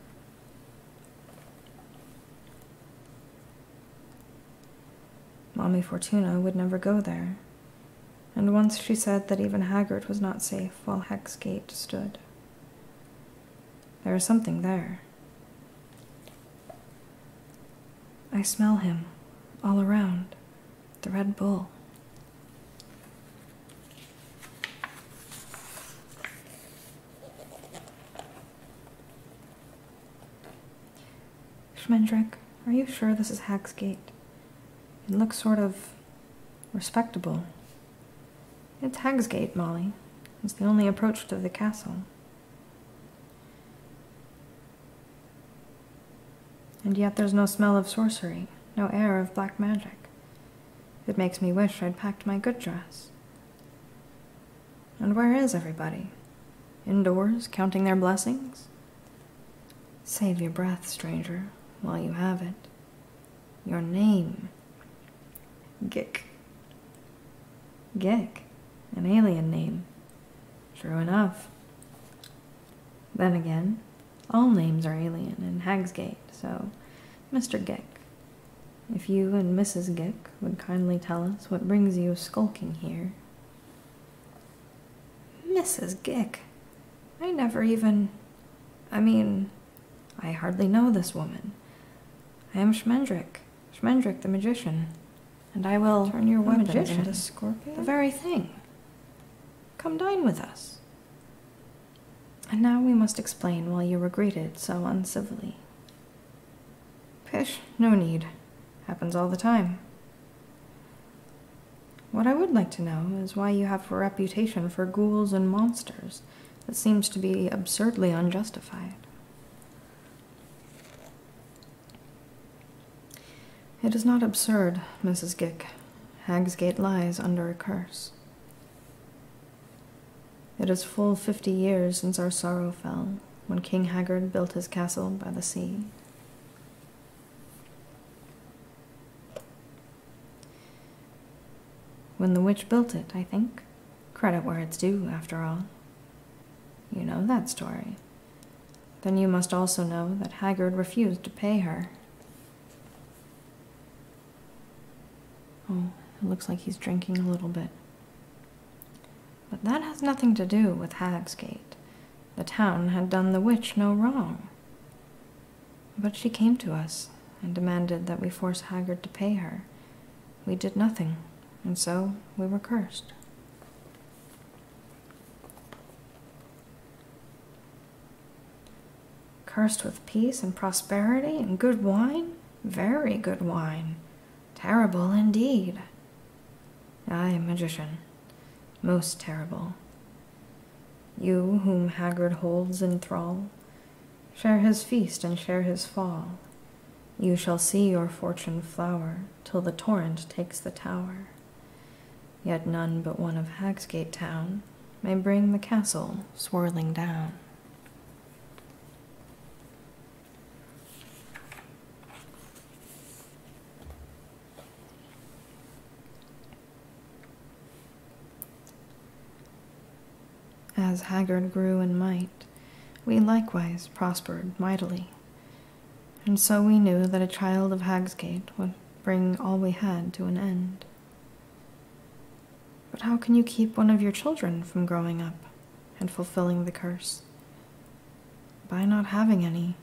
Mommy Fortuna would never go there, and once she said that even Haggart was not safe while Hexgate stood. There is something there. I smell him all around the red bull. Schmendrick, are you sure this is Hag's Gate? It looks sort of respectable. It's Hagsgate, Molly. It's the only approach to the castle. And yet there's no smell of sorcery, no air of black magic. It makes me wish I'd packed my good dress. And where is everybody? Indoors, counting their blessings? Save your breath, stranger, while you have it. Your name Gick. Gick, an alien name. True enough. Then again, all names are alien in Hagsgate, so Mr. Gick, if you and Mrs. Gick would kindly tell us what brings you skulking here. Mrs. Gick, I never even. I mean, I hardly know this woman. I am Schmendrick, Schmendrick the magician, and I will turn your weapon magician. into scorpion. The very thing. Come dine with us. And now we must explain why you were greeted so uncivilly. Pish, no need. Happens all the time. What I would like to know is why you have a reputation for ghouls and monsters that seems to be absurdly unjustified. It is not absurd, Mrs. Gick. Hagsgate lies under a curse. It is full fifty years since our sorrow fell, when King Haggard built his castle by the sea. When the witch built it, I think. Credit where it's due, after all. You know that story. Then you must also know that Haggard refused to pay her. Oh, it looks like he's drinking a little bit. But that has nothing to do with Hagsgate. The town had done the witch no wrong. But she came to us and demanded that we force Haggard to pay her, we did nothing, and so we were cursed. Cursed with peace and prosperity and good wine? Very good wine. Terrible indeed. Ay, magician, most terrible. You, whom Haggard holds in thrall, share his feast and share his fall. You shall see your fortune flower till the torrent takes the tower. Yet none but one of Hagsgate town may bring the castle swirling down. As Haggard grew in might, we likewise prospered mightily. And so we knew that a child of Hagsgate would bring all we had to an end. But how can you keep one of your children from growing up and fulfilling the curse? By not having any.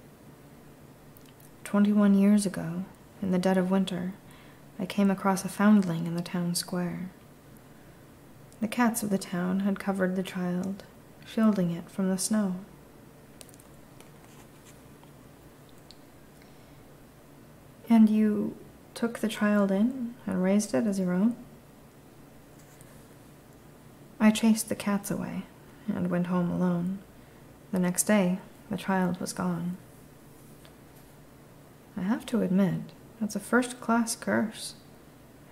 Twenty one years ago, in the dead of winter, I came across a foundling in the town square. The cats of the town had covered the child, shielding it from the snow. And you took the child in and raised it as your own? I chased the cats away and went home alone. The next day, the child was gone. I have to admit, that's a first class curse.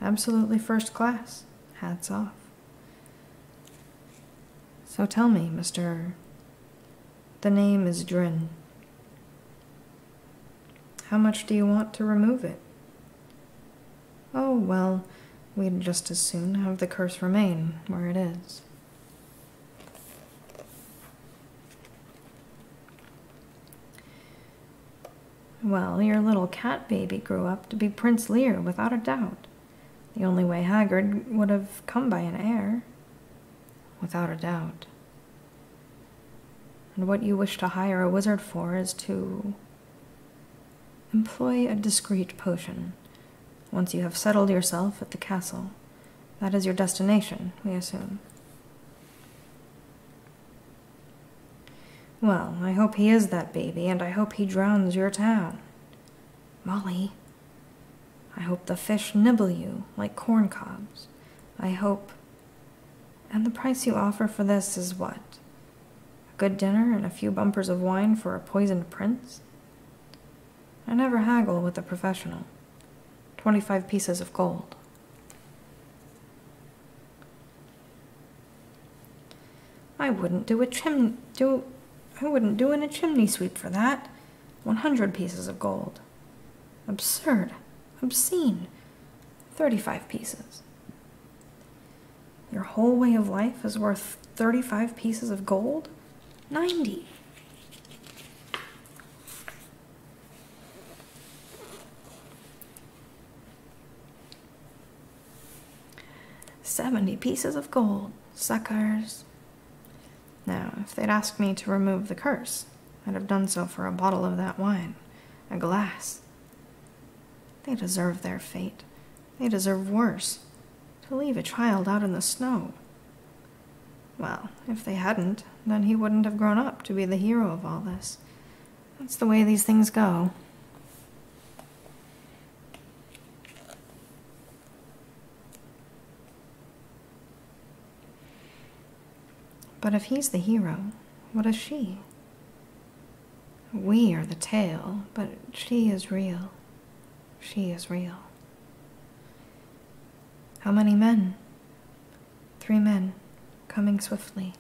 Absolutely first class. Hats off. So tell me, Mr. The name is Drin. How much do you want to remove it? Oh, well, we'd just as soon have the curse remain where it is. Well, your little cat baby grew up to be Prince Lear, without a doubt. The only way Haggard would have come by an heir. Without a doubt. And what you wish to hire a wizard for is to employ a discreet potion. Once you have settled yourself at the castle, that is your destination, we assume. Well, I hope he is that baby, and I hope he drowns your town. Molly, I hope the fish nibble you like corn cobs. I hope. And the price you offer for this is what? A good dinner and a few bumpers of wine for a poisoned prince? I never haggle with a professional. Twenty five pieces of gold. I wouldn't do a chim do I wouldn't do in a chimney sweep for that. One hundred pieces of gold. Absurd. Obscene. Thirty-five pieces. Your whole way of life is worth thirty-five pieces of gold? Ninety. 70 pieces of gold, suckers. Now, if they'd asked me to remove the curse, I'd have done so for a bottle of that wine, a glass. They deserve their fate. They deserve worse. To leave a child out in the snow. Well, if they hadn't, then he wouldn't have grown up to be the hero of all this, that's the way these things go. But if he's the hero, what is she? We are the tale, but she is real. She is real. How many men? Three men, coming swiftly.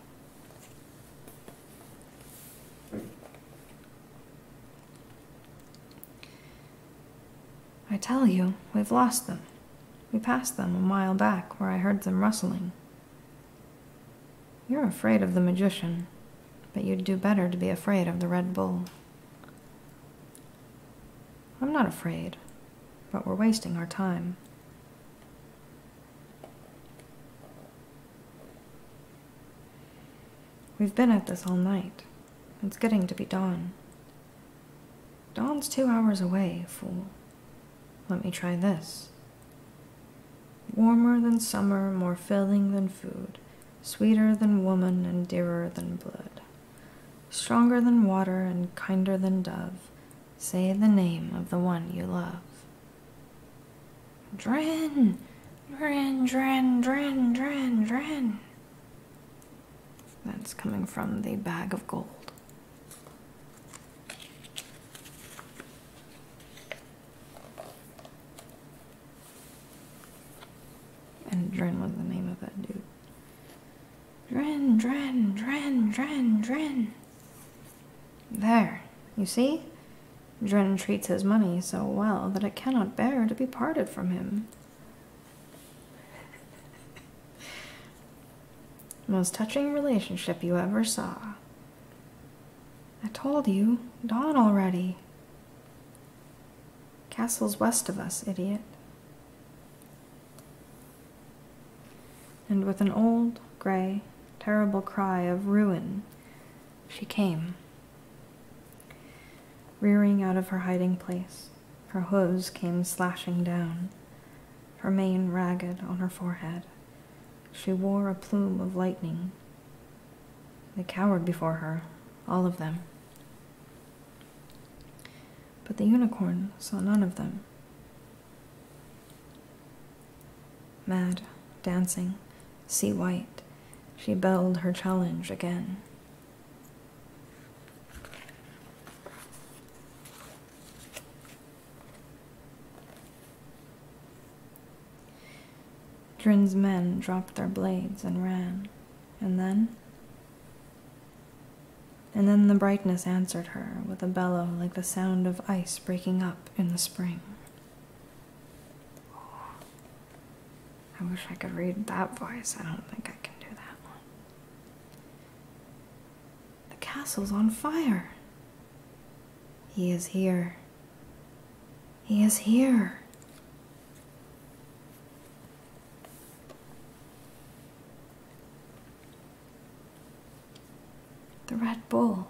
I tell you, we've lost them. We passed them a mile back where I heard them rustling. You're afraid of the magician, but you'd do better to be afraid of the Red Bull. I'm not afraid, but we're wasting our time. We've been at this all night. It's getting to be dawn. Dawn's two hours away, fool. Let me try this. Warmer than summer, more filling than food, sweeter than woman and dearer than blood, stronger than water and kinder than dove, say the name of the one you love. Dren! Dren, Dren, Dren, Dren, Dren. That's coming from the bag of gold. And Dren was the name of that dude. Dren, Dren, Dren, Dren, Dren. There, you see? Dren treats his money so well that it cannot bear to be parted from him. Most touching relationship you ever saw. I told you, dawn already. Castle's west of us, idiot and with an old, grey, terrible cry of ruin, she came. Rearing out of her hiding place, her hoofs came slashing down, her mane ragged on her forehead. She wore a plume of lightning. They cowered before her, all of them. But the unicorn saw none of them. Mad, dancing, sea white, she belled her challenge again. Drin's men dropped their blades and ran. And then? And then the brightness answered her with a bellow like the sound of ice breaking up in the spring. I wish I could read that voice. I don't think I can do that The castle's on fire. He is here. He is here. The red bull.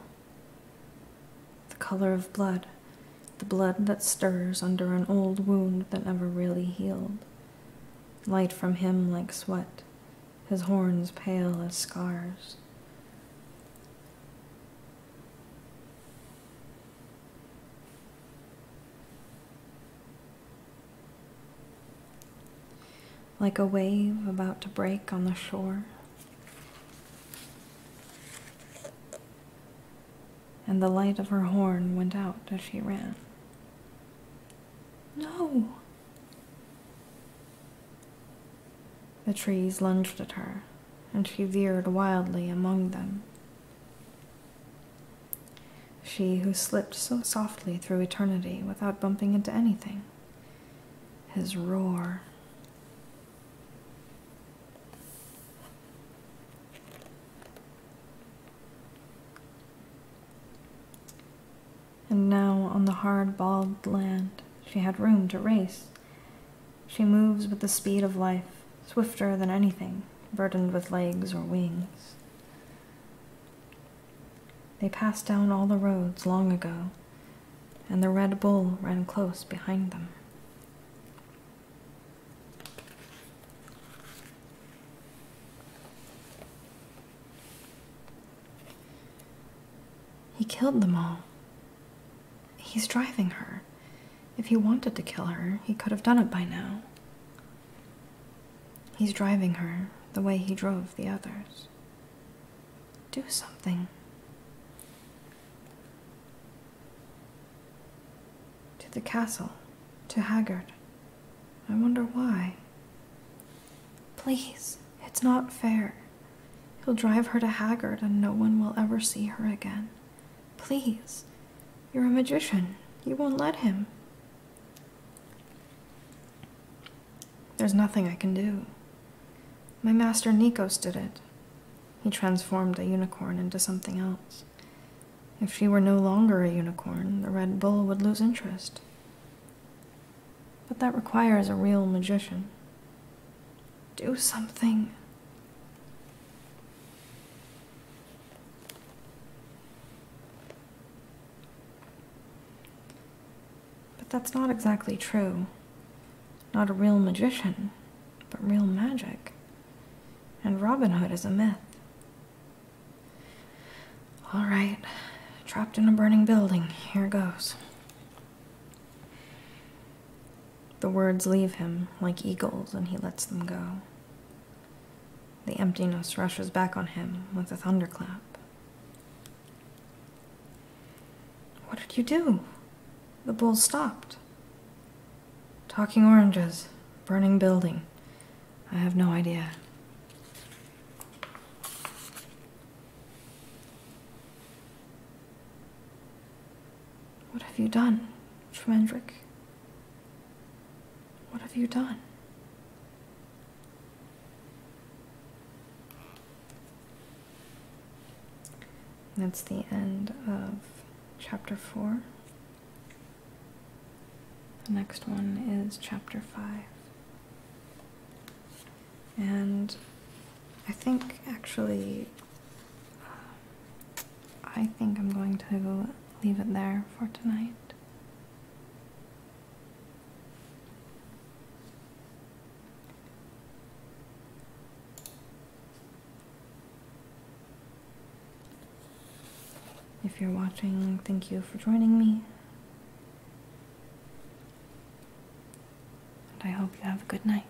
The color of blood. The blood that stirs under an old wound that never really healed. Light from him like sweat, his horns pale as scars like a wave about to break on the shore. And the light of her horn went out as she ran. No! The trees lunged at her, and she veered wildly among them. She who slipped so softly through eternity without bumping into anything. His roar and now, on the hard, bald land, she had room to race. She moves with the speed of life, swifter than anything, burdened with legs or wings. They passed down all the roads long ago, and the red bull ran close behind them. He killed them all. He's driving her. If he wanted to kill her, he could have done it by now. He's driving her the way he drove the others. Do something. To the castle, to Haggard. I wonder why. Please, it's not fair. He'll drive her to Haggard and no one will ever see her again. Please, you're a magician. You won't let him. There's nothing I can do. My master Nikos did it. He transformed a unicorn into something else. If she were no longer a unicorn, the red bull would lose interest. But that requires a real magician. Do something. But that's not exactly true. Not a real magician, but real magic. And Robin Hood is a myth. All right, trapped in a burning building, here goes. The words leave him like eagles, and he lets them go. The emptiness rushes back on him with a thunderclap. What did you do? The bull stopped. Talking oranges, burning building. I have no idea. What have you done, Tremendrick? What have you done? That's the end of chapter 4. The next one is chapter 5. And I think actually, um, I think I'm going to leave it there for tonight. If you're watching, thank you for joining me. And I hope you have a good night.